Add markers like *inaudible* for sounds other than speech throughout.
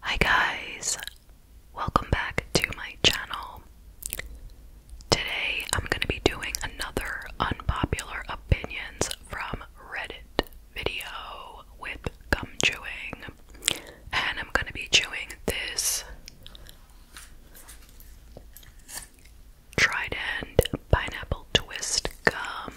Hi guys, welcome back to my channel. Today I'm going to be doing another unpopular opinions from Reddit video with gum chewing, and I'm going to be chewing this Trident Pineapple Twist Gum.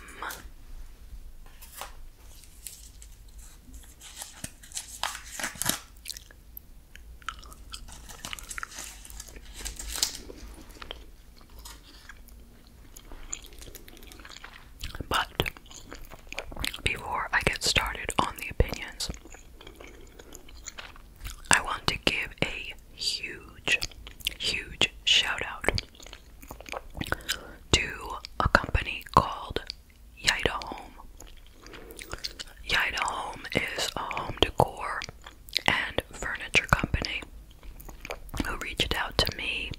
But before I get started on the opinions, I want to give a huge, huge shout out to a company called Yida Home. Yida Home is a home decor and furniture company who reached out to me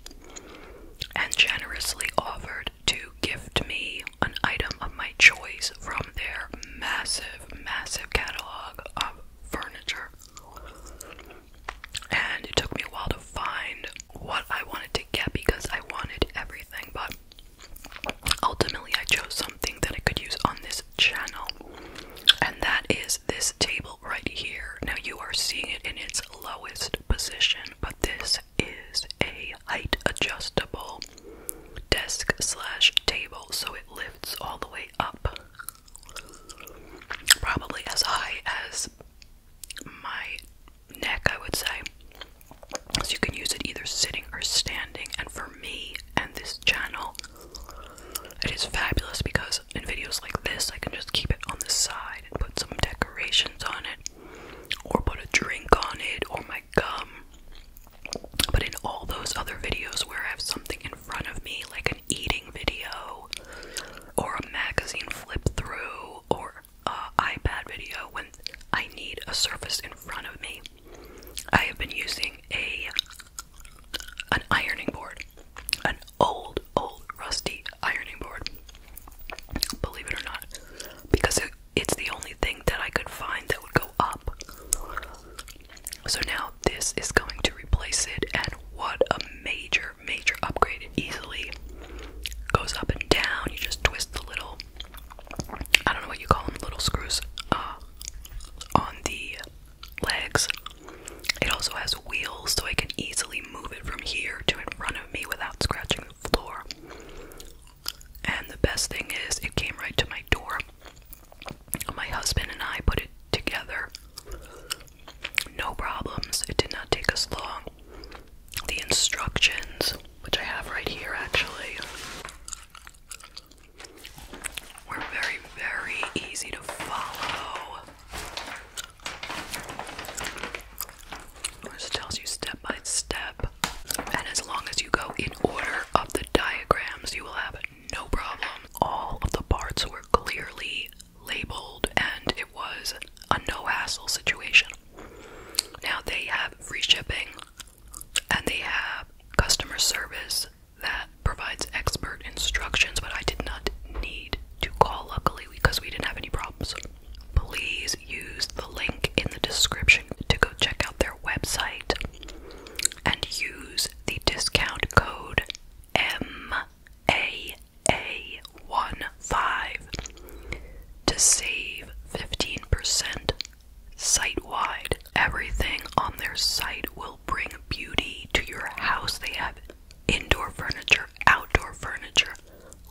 and generously offered to gift me an item of my choice from their massive, massive catalog of furniture. And it took me a while to find what I wanted to get because I wanted everything, but ultimately I chose something that I could use on this channel, and that is this table right here. Now you are seeing it in its lowest position, but this is a height adjustable desk slash table, so it lifts all the way up. Probably as high as my neck, I would say. So you can use it either sitting or standing. And for me and this channel, it is fabulous because in videos like this, I can just keep it on the side and put some decorations on it, or put a drink on it, or my gum. But in all those other videos where I have something in front of me, like an eating video, or a magazine flip through, or uh, iPad video when I need a surface in front of me. I have been using a an ironing board, an old, old, rusty ironing board. Believe it or not, because it's the only thing that I could find that would go up. So now this is going to replace it, and what a major, major upgrade! easily goes up and down. You just twist the little, I don't know what you call them, little screws uh, on the legs. It also has wheels so I can easily move it from here to in front of me without scratching the floor. And the best thing is, it came right to my door. My husband and I put it together. No problems. It did not take us long the instructions, which I have right here actually, were very, very easy to follow. It tells you step by step, and as long as you go in order of the diagrams, you will have no problem. All of the parts were clearly labeled, and it was a no hassle situation. Now they have free shipping and they have customer service that provides expert instructions, but I did not need to call luckily because we didn't have any problems. Please use the link in the description to go check out their website and use the discount code MAA one five to save 15% site wide. Everything on their site will bring beauty to your house. They have indoor furniture, outdoor furniture,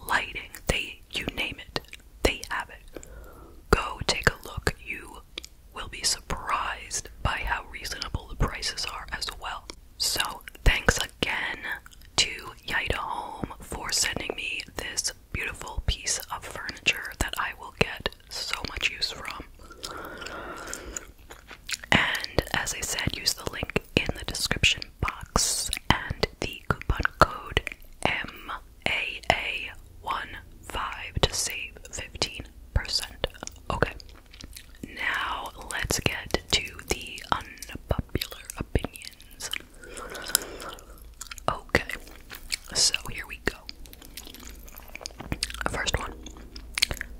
lighting, they you name it. They have it. Go take a look. You will be surprised by how reasonable the prices are as well. So, thanks again to Yida Home for sending me this beautiful piece of furniture that I will get so much use from. And as I said, use the link in the description box and the coupon code maa one five to save 15%. Okay, now let's get to the unpopular opinion. Okay, so here we go. First one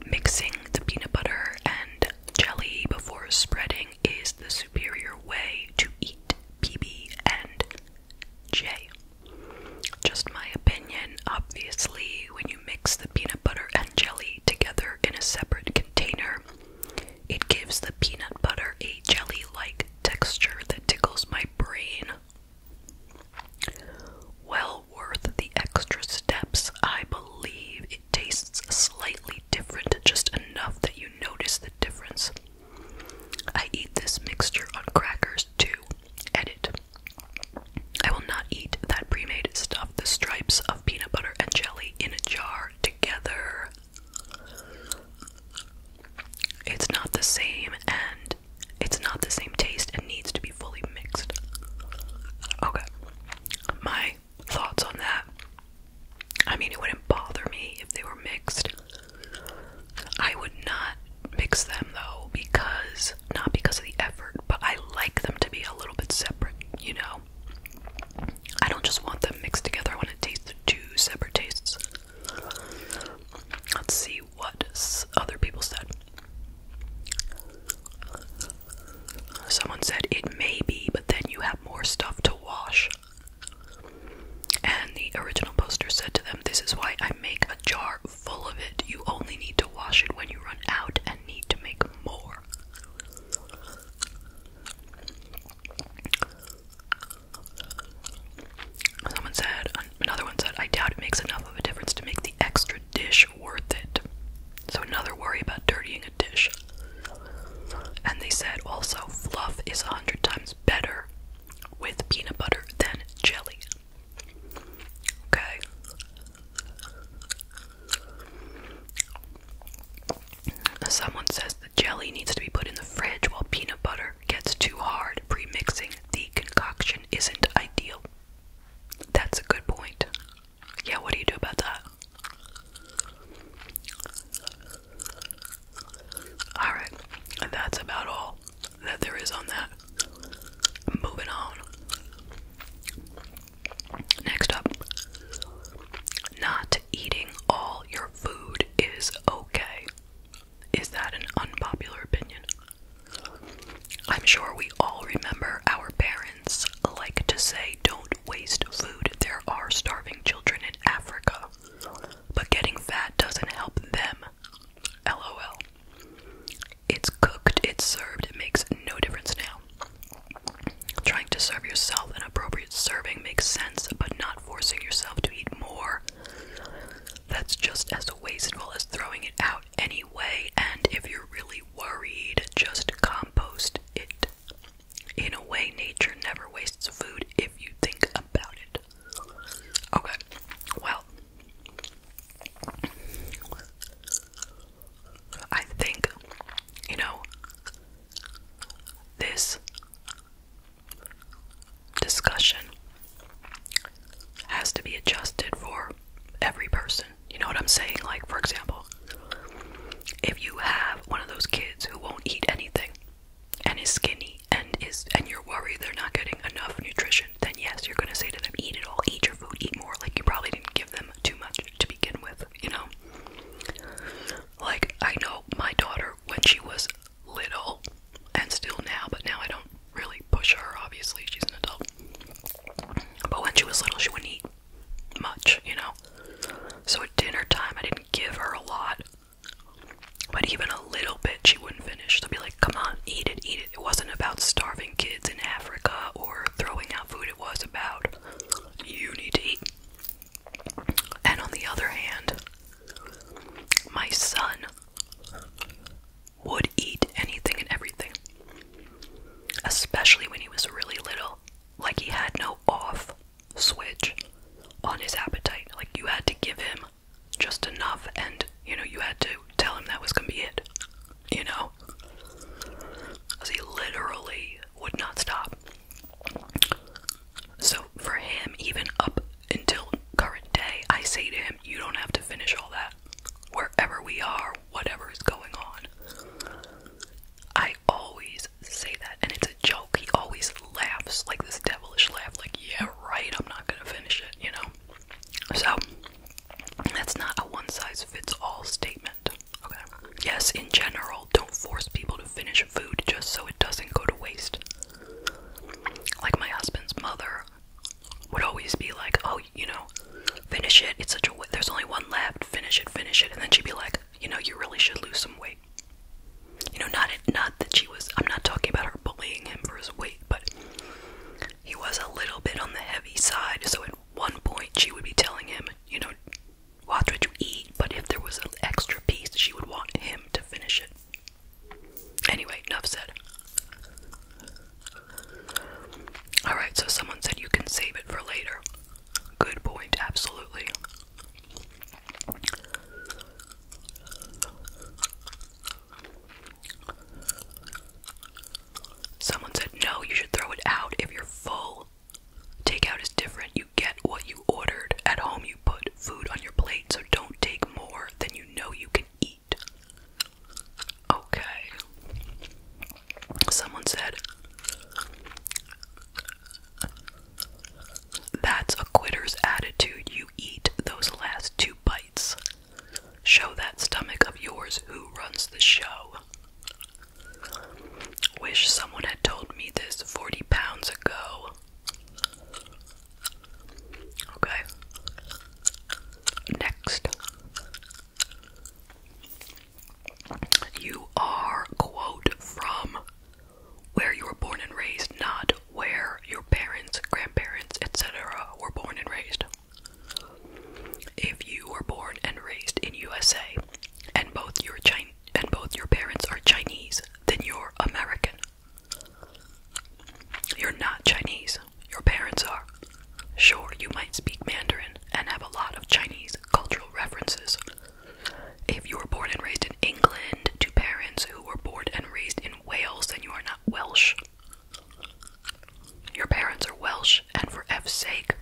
mixing the peanut butter and jelly before spreading is the superior way to eat PB and J. Just my opinion, obviously, when you mix the peanut butter and jelly together in a separate container, it gives the peanut butter a jelly like texture that tickles my brain. Well worth the extra steps, I believe. It tastes slightly different, just enough that you notice the difference. I eat this mixture on crackers too. Edit. I will not eat that pre made stuff, the stripes of peanut butter and jelly in a jar together. It's not the same and it's not the same taste and needs to be fully mixed. Okay. My thoughts on that. I mean, it wouldn't bother me if they were mixed. I would not mix them though because not because of the effort, but I like them to be a little bit separate, you know. I don't just want them mixed together. I want to taste the two separate tastes. Let's see what other people said. Someone said it may be, but then you have more stuff to wash. And the original poster said to them, This is why I make a jar full of it. You only need to wash it when you run out and need to make more. Someone said, another one said, I doubt it makes enough of a difference to make the extra dish worth it. So, another worry about dirtying a dish. And they said also, fluff is a hundred times better with peanut butter than jelly. Okay. Someone says the jelly needs to be put in the fridge while peanut butter gets too hard. Pre mixing the concoction isn't ideal. That's a good point. Yeah, what do you do about that? Alright, that's about all that there is on that. Moving on. Next up, not eating all your food is okay. Is that an unpopular opinion? I'm sure we all remember our parents like to say, don't waste food. There are starving children in Africa. But getting fat doesn't help them. LOL. It's cooked, it's served, it makes no difference now. Trying to serve yourself an appropriate serving makes sense, but not forcing yourself to eat more. That's just as wasteful as throwing it out anyway, and if you're really worried, just compost it. In a way, nature never wastes food if you think about it. Okay, well, I think, you know, this discussion has to be adjusted for every person. You know what I'm saying? Like, for example, if you have one of those kids who won't eat anything and is skinny and is and you're worried they're not getting enough nutrition, then yes, you're gonna say to them, eat it all, eat your food, eat more. Like you probably didn't give them too much to begin with, you know? Like I know my daughter when she was little and still now, but now I don't really push her, obviously, she's an adult. But when she was little, she wouldn't eat much, you know? So at dinner time, I didn't give her a lot. But even a little bit, she wouldn't finish. i would be like, come on, eat it, eat it. It wasn't about starving kids in Africa or throwing out food, it was about you need to eat. And on the other hand, my son would eat anything and everything, especially when he was really little. Like, he had no off switch on his appetite. Like, you had to give him just enough, and you know, you had to tell him that was gonna be it, you know? Because he literally would not stop. So for him, even up until current day, I say to him, You don't have to finish all that. Wherever we are, whatever is going on. I always say that, and it's a joke. He always laughs, like this devilish laugh, like, Yeah, right, I'm not gonna finish it, you know? So, that's not a one size fits all statement. Okay. Yes, in general, don't force people to finish food just so it doesn't go to waste. Like my husband's mother would always be like, "Oh, you know, finish it. It's such a w there's only one left. Finish it, finish it." And then she'd be like, "You know, you really should lose some weight." You know, not not that she was. I'm not talking about her bullying him for his weight, but he was a little bit on the heavy side. So at one point, she would be telling him, "You know, watch what you eat." But if there was an extra piece, she would want him to finish it. Anyway, enough said. Alright, so someone said you can save it for later. Good point, absolutely. Someone said no, you should throw it out if you're full. Takeout is different. You get what you ordered. At home, you put food on your plate, so don't take more than you know you can eat. Okay. Someone said, That's a quitter's attitude. You eat those last two bites. Show that stomach of yours who runs the show. Wish someone had told me this 40 pounds ago. Okay. Next. You are, quote, from where you were born and raised, not where your parents, grandparents, etc. were born and raised. If you were born and raised in USA and both your and both your parents are Chinese, then you're American. You're not Chinese. Your parents are. Sure, you might speak Mandarin and have a lot of Chinese cultural references. If you were born and raised in England to parents who were born and raised in Wales, then you are not Welsh. Your parents are Welsh, and for F's sake,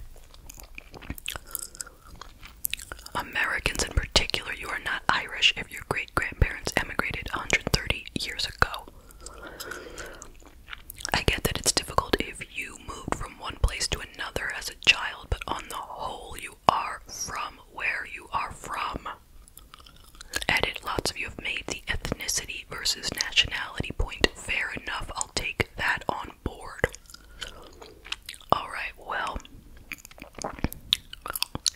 Americans in particular, you are not Irish if your great grandparents emigrated 130 years ago. I get that it's difficult if you moved from one place to another as a child, but on the whole, you are from where you are from. Edit lots of you have made the ethnicity versus nationality point fair enough. I'll take that on board. Alright, well,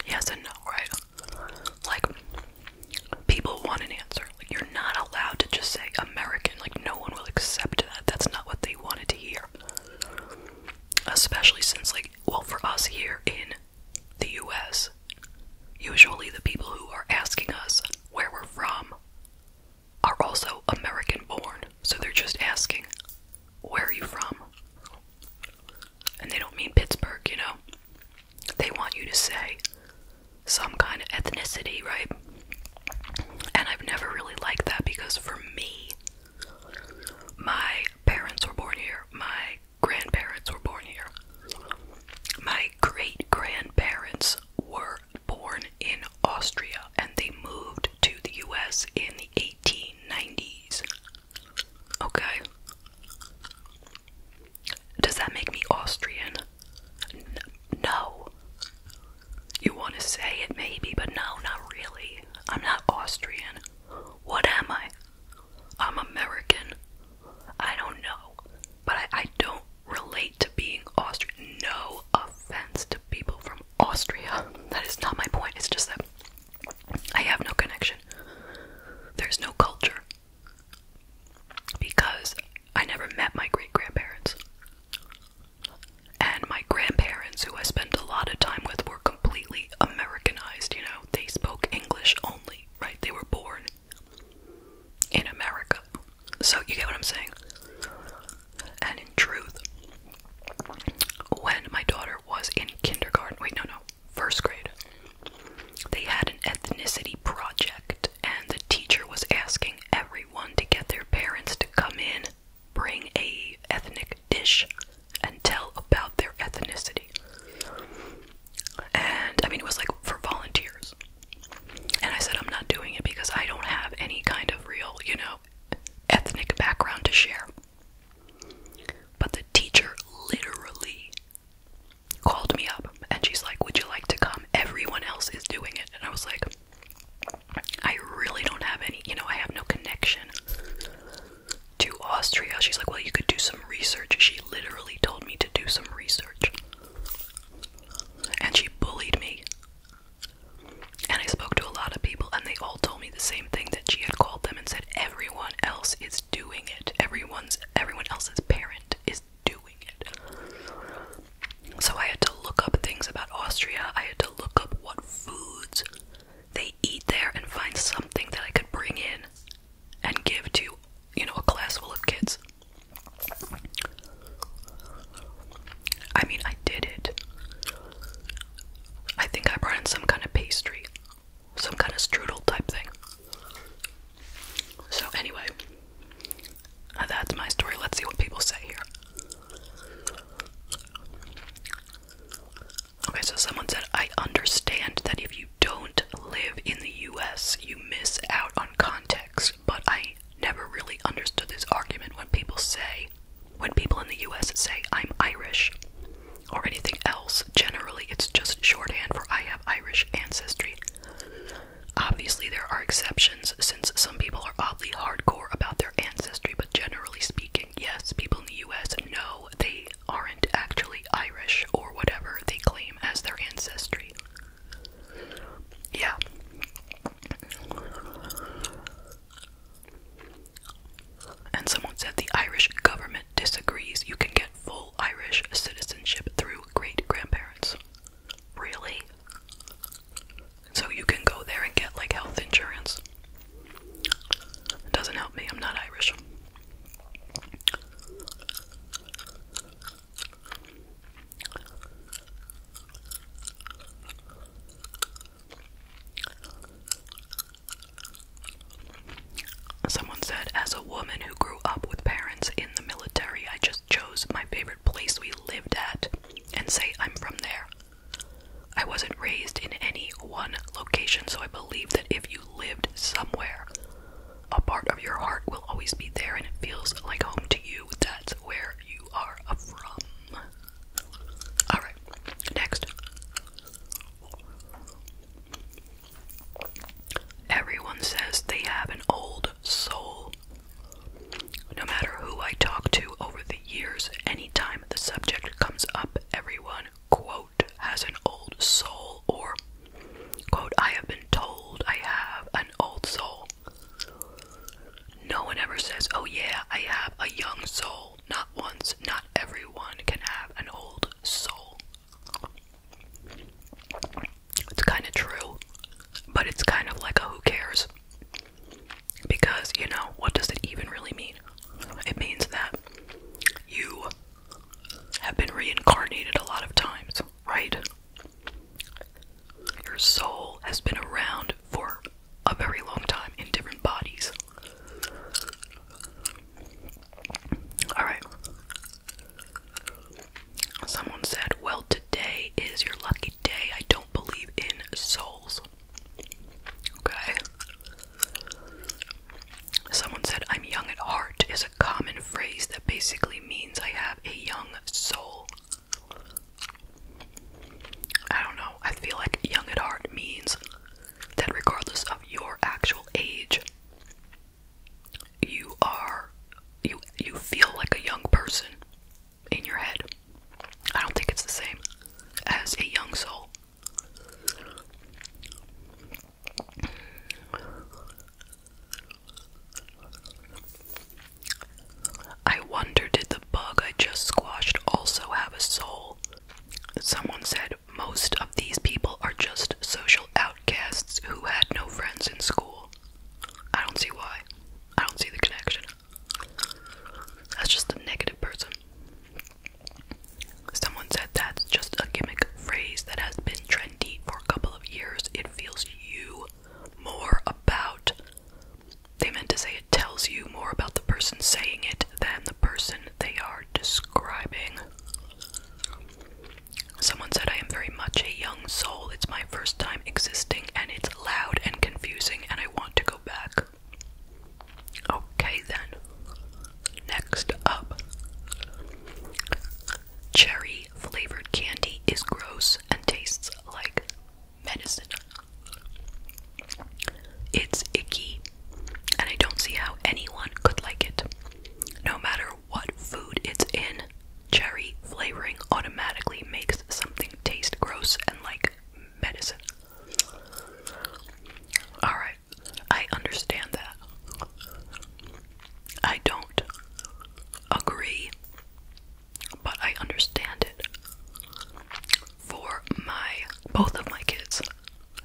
yes and no, right? Like, people want an answer. Like, you're not allowed to just say American. Like, no one will accept that. That's not what they wanted to hear. Especially since, like, well, for us here in the US, usually the people who are asking us where we're from are also American born. So they're just asking, where are you from? and they don't mean Pittsburgh, you know. They want you to say some kind of ethnicity, right? And I've never really liked that because for me, my parents were born here, my grandparents were born here, my great grandparents were born in Austria and they moved to the US in the 1890s. Okay. Does that make me Austrian? no. You want to say it maybe, but no, not really. I'm not Austrian. What am I? I'm American. I don't know, but I don't relate to being Austrian. No offense to people from Austria. *laughs* That is not my point. It's just that I have no connection. There's no culture. Because I never met my great grandparents. And my grandparents, who I spent a lot of time with, were completely Americanized, you know? They spoke English only, right? They were born in America. So, you get what I'm saying? And in truth, when my daughter was in kindergarten. Wait, no, no, first grade. They had an ethnicity project, and the teacher was asking everyone to get their parents to come in, bring a ethnic dish, and tell about their ethnicity. And I mean, it was like for volunteers. And I said, I'm not doing it because I don't have any kind of real, you know, ethnic background to share. But the teacher literally called me up and she's like, Would you like to come? Everyone else is doing it. And I was like, I really don't have any, you know, I have no connection to Austria. She's like, Well, you could do some research. She literally told me to do some research. And she bullied me. And I spoke to a lot of people, and they all told me the same same thing that she had called them and said everyone else is doing it. Everyone's everyone else's parent is doing it. So I had to look up things about Austria. I had to look up what foods they eat there and find something that I could bring in and give to, you know, a class full of kids. I mean, I did it. I think I brought in some kind of pastry some kind of strudel type thing. So, anyway, that's my story. Let's see what people say here. Okay, so someone said, I understand that if you don't live in the US, you miss out on context, but I never really understood this argument when people say, when people in the US say, I'm Irish or anything else. Generally, it's just shorthand for I have Irish ancestry. Obviously, there are exceptions since some people are oddly hardcore about their ancestry, but generally speaking, yes, people in the US know they aren't actually Irish or whatever they claim as their ancestry. Yeah. And someone said the Irish government disagrees. You can get full Irish citizenship through great grandparents. Really? So you can go there and get like health insurance. It doesn't help me, I'm not Irish. Someone said, as a woman who grew up with parents in the military, I just chose my favorite place we lived at and say I'm from there. I wasn't raised in any one location, so I believe that if you lived somewhere, a part of your heart will always be there and it feels like home to you. That's where you are from. Alright, next. Everyone says they have an old soul. No matter who I talk to over the years, anytime the subject comes up, everyone, quote, has an old soul, or, quote, I have been told I have an old soul. No one ever says, oh yeah, I have a young soul. Not once, not everyone can have an old soul. It's kind of true, but it's kind of like a who cares. Because, you know, what does it even really mean? It means that you have been reincarnated a lot of times, right? Your soul has been around for a very long time in different bodies. Alright. Someone said, Well, today is your lucky day. I don't believe in souls. Okay. Someone said, I'm young at heart is a common phrase that basically means I have a young soul. I don't know. I feel like young at heart means that regardless of your actual age, you are you you feel like a young person in your head. I don't think it's the same as a young soul. I wonder did the bug I just squashed also have a soul? Someone said most of these people are just social outcasts who had no friends in school. I don't see why. I don't see the connection. That's just a negative person. Someone said that's just a gimmick phrase that has been trendy for a couple of years. It feels you more about. They meant to say it tells you more about the person saying it than the person they are describing. Someone said, I am very much a young soul. It's my first time existing, and it's loud and confusing, and I want to go back. Okay, then. Next up cherry flavored candy is gross and tastes like medicine. It's icky and I don't see how anyone could like it. No matter what food it's in, cherry flavoring automatically makes something taste gross and like medicine. Alright, I understand that. I don't agree, but I understand it. For my both of my kids,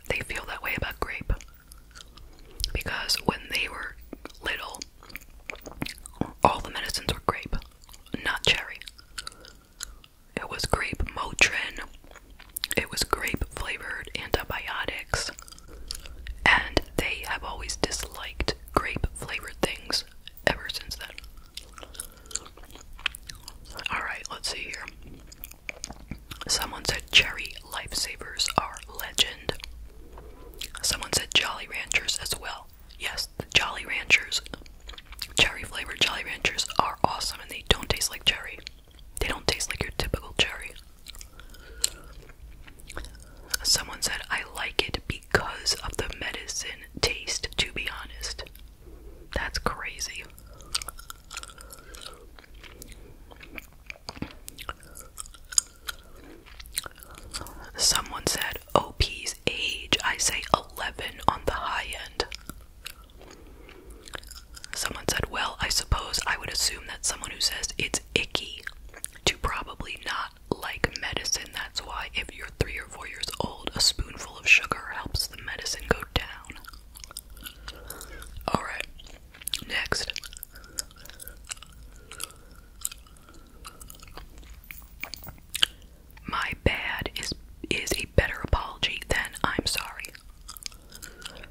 they feel that way about grape. Because when they were little, all the medicines were grape, not cherry. It was grape Motrin, it was grape flavored antibiotics, and they have always disliked grape flavored things ever since then. Alright, let's see here. Someone said cherry lifesavers are legend. Someone said Jolly Ranchers as well. Yes, the Jolly Ranchers, cherry flavored Jolly Ranchers are awesome and they don't taste like cherry. They don't taste like your typical cherry. Someone said, I like it because of the medicine taste, to be honest. That's crazy. Someone said OP's age. I say 11 on the high end. Someone said, Well, I suppose I would assume that someone who says it's icky to probably not like medicine. That's why, if you're three or four years old, a spoonful of sugar helps the medicine go down. Alright. Next. My bad is is a better apology than I'm sorry.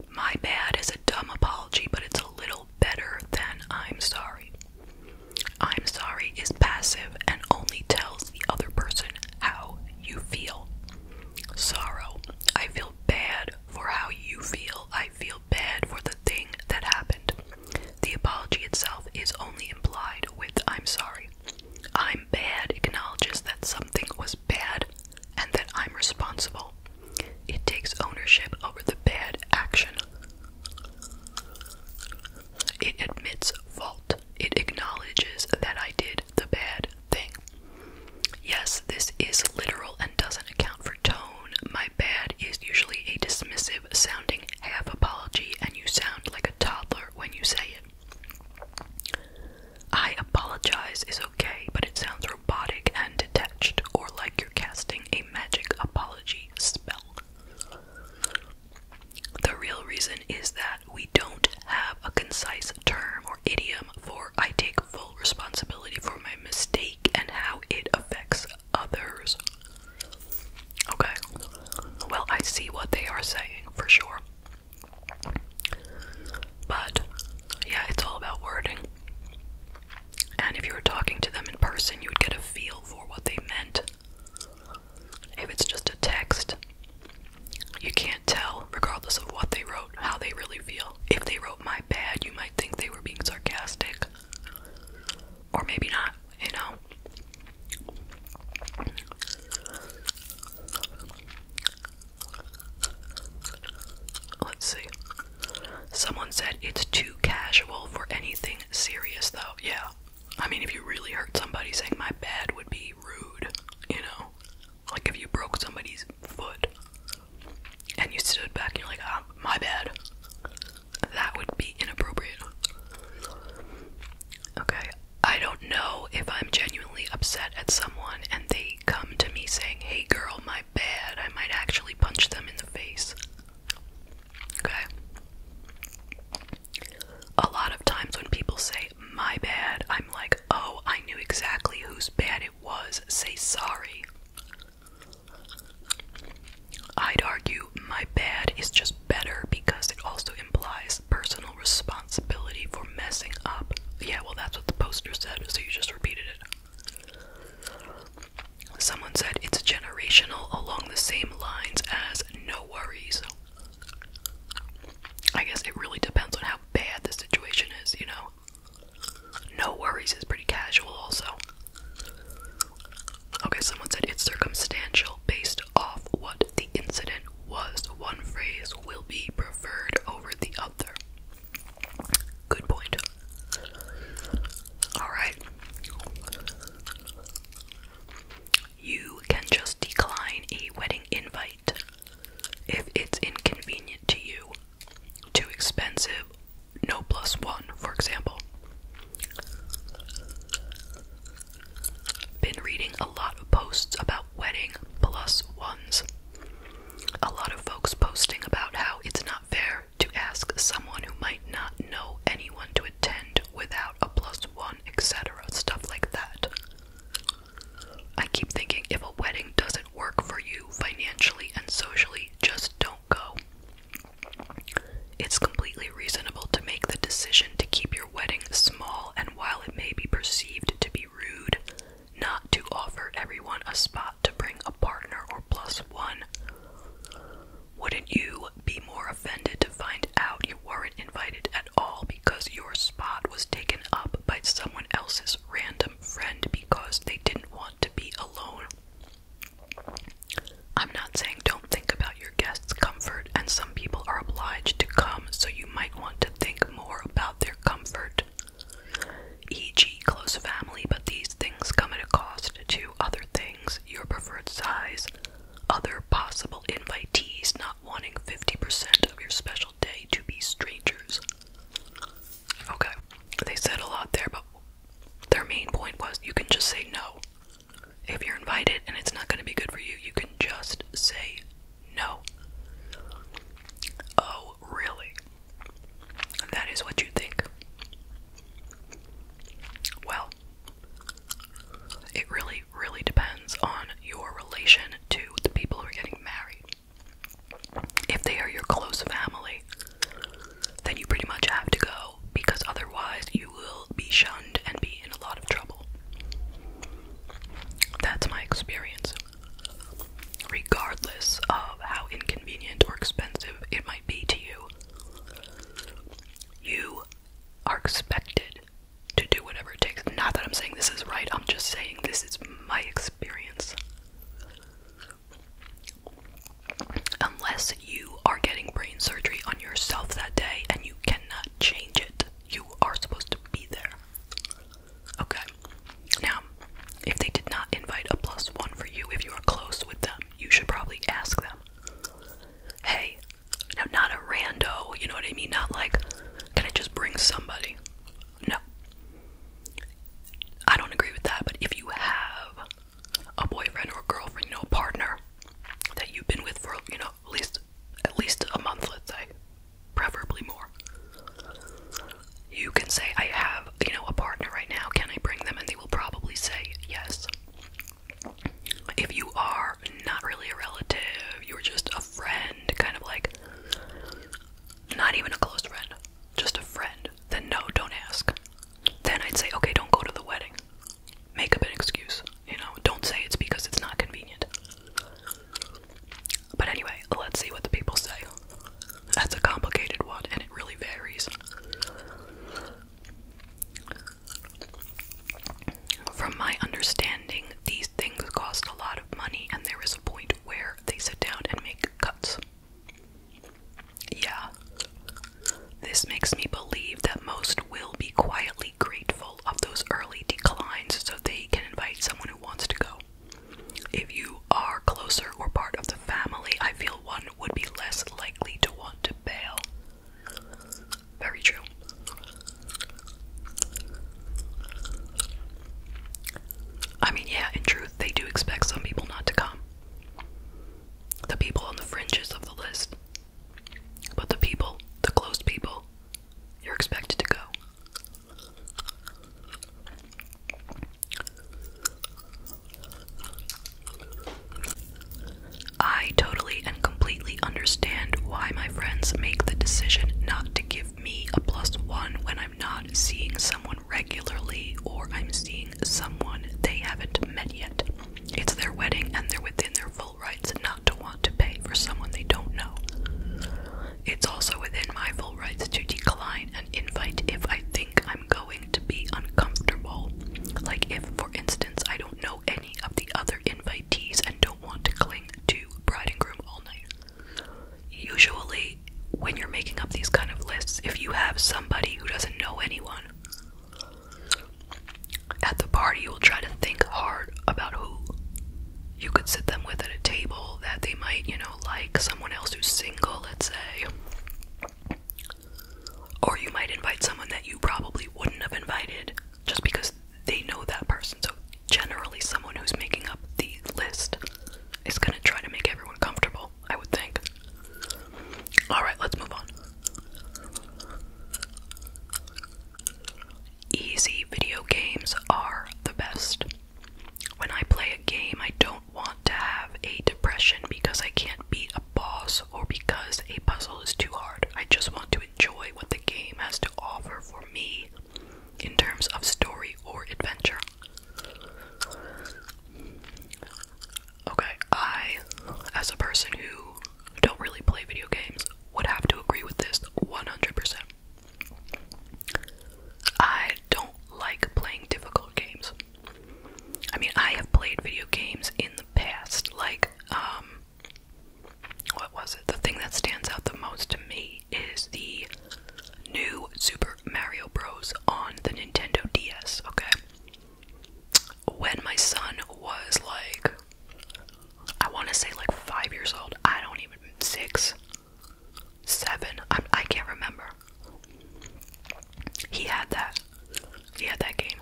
My bad is a dumb apology, but it's a little better than I'm sorry. I'm sorry is passive and only tells the other person how you feel. Sorrow. I feel bad for how you feel, I feel bad for the thing that happened. The apology itself is only implied with I'm sorry. I'm bad acknowledges that something was bad and that I'm responsible. It takes ownership over the bad action. It admits fault. It acknowledges that I did the bad thing. Yes, this is literal and doesn't account for tone. My bad is usually a dismissive sounding half apology, and you sound like a toddler when you say it. I apologize is okay, but it sounds robotic and detached, or like you're casting a magic apology spell. The real reason is that we don't have a concise term or idiom for I take full responsibility for my mistake and how it affects others. Okay. Well, I see what they are saying for sure. But yeah, it's all about wording. And if you were talking to them in person, you would get a feel for what they meant. If it's just a text, you can't tell, regardless of what they wrote, how they really feel. If they wrote my bad, you might think they were being sarcastic. Or maybe not, you know. Let's see. Someone said it's too casual for anything serious, though. Yeah. I mean, if you really hurt somebody, saying my bad would be rude, you know? Like if you broke somebody's foot and you stood back and you're like, ah, my bad, that would be inappropriate. Okay, I don't know if I'm genuinely upset at someone and they come to me saying, hey girl, my bad, I might actually punch them in the face. Okay? A lot of times when people say, my bad, I'm like, oh, I knew exactly whose bad it." was say sorry. I'd argue my bad is just better because it also implies personal responsibility for messing up. Yeah, well, that's what the poster said, so you just repeated it. Someone said it's generational along the same lines as no worries. I guess it really depends on how bad the situation is, you know? No worries is pretty casual, also. Okay, someone said it's circumstantial based off what the incident was. One phrase will be preferred over the other. Good point. Alright. You can just decline a wedding invite. If it's inconvenient to you, too expensive, no plus one, for example. Been reading a lot of posts about wedding plus ones. A lot of folks posting about how it's not fair to ask someone who might not know anyone to attend without a plus one, etc. Stuff like that. I keep thinking if a wedding doesn't work for you financially and socially, just don't go. It's completely reasonable to make the decision to keep your wedding small, and while it may be perceived to be rude, not to offer everyone a spot to bring a partner or plus one. Wouldn't you be more offended to find out you weren't invited at all because your spot was taken up by someone else's random friend because they didn't want to be alone. I'm not saying don't think about your guests' comfort, and some people are obliged to come, so you might want to think more about their comfort, e.g., close family, but these things come at a cost to other things, your preferred size, other possible invitees, not wanting 50% of your special day to be strangers. Okay, they said a lot there, but their main point was you can just say no. If you're invited and it's not going to be good for you, you can just say no. Oh, really? That is what you think. Well, it really, really depends on your relation to the people who are getting married. If they are your close family, then you pretty much have to go because otherwise you will be shunned and be in a lot of trouble. That's my experience. Regardless of how inconvenient or expensive it might be to you, you are expected to do whatever it takes. Not that I'm saying this is right, I'm just saying this is my experience. Unless you are getting brain surgery on yourself that day and you cannot change it, you are supposed to be there. Okay. Now, if they did not invite a plus one for you, if you are close with them, you should probably ask them, hey, now not a rando, you know what I mean? Not like, can I just bring somebody? No. I don't agree with that, but if you have a boyfriend or a girlfriend, you know, a partner that you've been with for, you know, at least at least a month, let's say, preferably more. You can say, I have, you know, a partner right now, can I bring them? And they will probably say yes. If you are not really a relative, you're just a friend, kind of like not even a close friend, just a friend, then no, don't ask. Then I'd say, okay, don't go to the wedding. Make up an excuse, you know, don't say it's because it's not convenient. But anyway, let's see what the people say. That's a complicated one, and it really varies. From my understanding, these things cost a lot of money, and there is a point where they sit down and make cuts. Yeah. This makes me believe that most will be quietly grateful of those early declines so they can invite someone who wants to go. If you are closer or part of the family, I feel one would be less likely to want to bail. Very true. I mean, yeah, in truth, they do expect some people not to come. The people on the fringes of the list. But the people, the closed people, you're expected to go. I totally and completely understand why my friends make the decision not to give me a plus one when I'm not seeing someone regularly or I'm seeing someone they haven't met yet. It's their wedding and they're within their full rights not to want to pay for someone they don't know. It's also within my full rights to decline an invite if I think I'm going to be uncomfortable. Like if, for instance, I don't know any of the other invitees and don't want to cling to bride and groom all night. Usually, when you're making up these kind of lists, if you have somebody who doesn't know anyone at the party, you'll try to think hard about who you could sit them with at a table that they might, you know, like someone else who's single, let's say. Or you might invite someone that you probably wouldn't have invited just because they know that person. So, generally, someone who's making up the list is going to try to make everyone comfortable. I would think. Alright, let's move on. Easy video games are the best. When I play a game, I don't want to have a depression because I can't beat a boss or because a puzzle is too hard. I just want to enjoy what the game has to offer for me in terms of story or adventure. Okay, I, as a person who don't really play video games, would have to agree with this 100%. I don't like playing difficult games. I mean, I have played video games in the past, like, um, what was it? The thing that stands out the most to me is the New Super Mario Bros. on the Nintendo DS, okay? When my son was like, I want to say like five years old, I don't even, six, seven, I'm, I i can not remember. He had that. He had that game.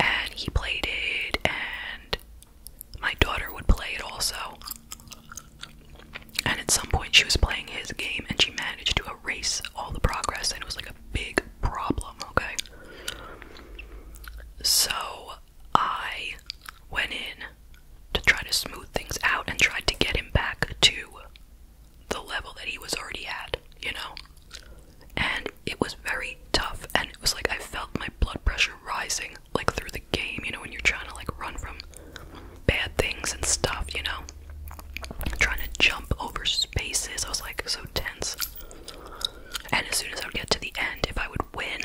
And he played it, and my daughter would play it also. And at some point, she was playing his game and she managed to erase all the progress, and it was like a big problem, okay? So I went in to try to smooth things out and tried to get him back to the level that he was already at, you know? And it was very tough, and it was like I felt my blood pressure rising like through the game, you know, when you're trying to like run from bad things and stuff, you know? Trying to jump over spaces. I was like so tense. And as soon as I would get to the end, if I would win,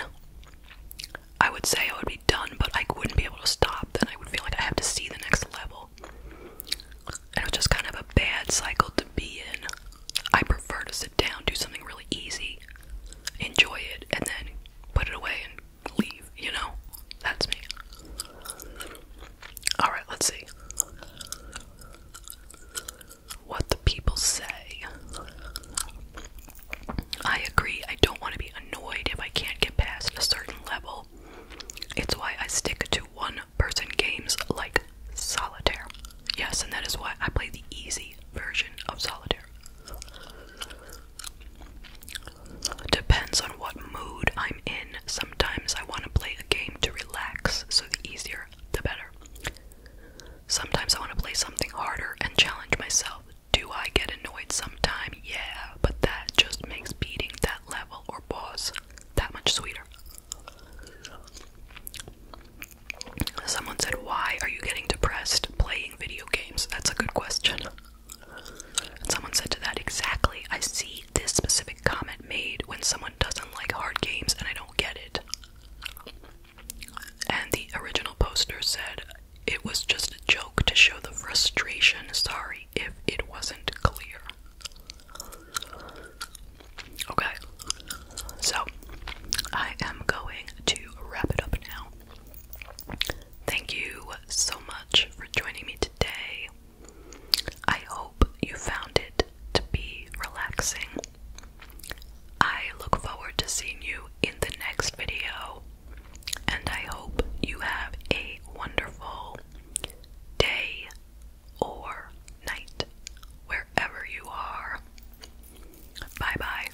I would say I would be done, but I wouldn't be able to stop. Then I would feel like I have to see the next level. And it was just kind of a bad cycle to be in. I prefer to sit down, do something really easy, enjoy it, and then put it away and leave, you know? That's me. Alright, let's see. What the people say. I agree, I don't want to be annoyed if I can't get past a certain level. It's why I stick to one person games like solitaire. Yes, and that is why I play the easy version of solitaire. Depends on what mood I'm in. Sometimes I want to play a game to relax, so the easier, the better. Sometimes I want to play something harder and challenge myself. Do I get annoyed sometime? Yeah, but that just makes beating that level or boss that much sweeter. Someone said, Why are you getting depressed playing video games? That's a good question someone said to that exactly, I see this specific comment made when someone doesn't like hard games and I don't get it. And the original poster said, it was just a joke to show the frustration. Sorry if it wasn't clear. Okay, so I am going to wrap it up now. Thank you so much for joining me today. I hope you found it to be relaxing. I look forward to seeing you in the next video, and I hope you have a wonderful day or night wherever you are. Bye bye.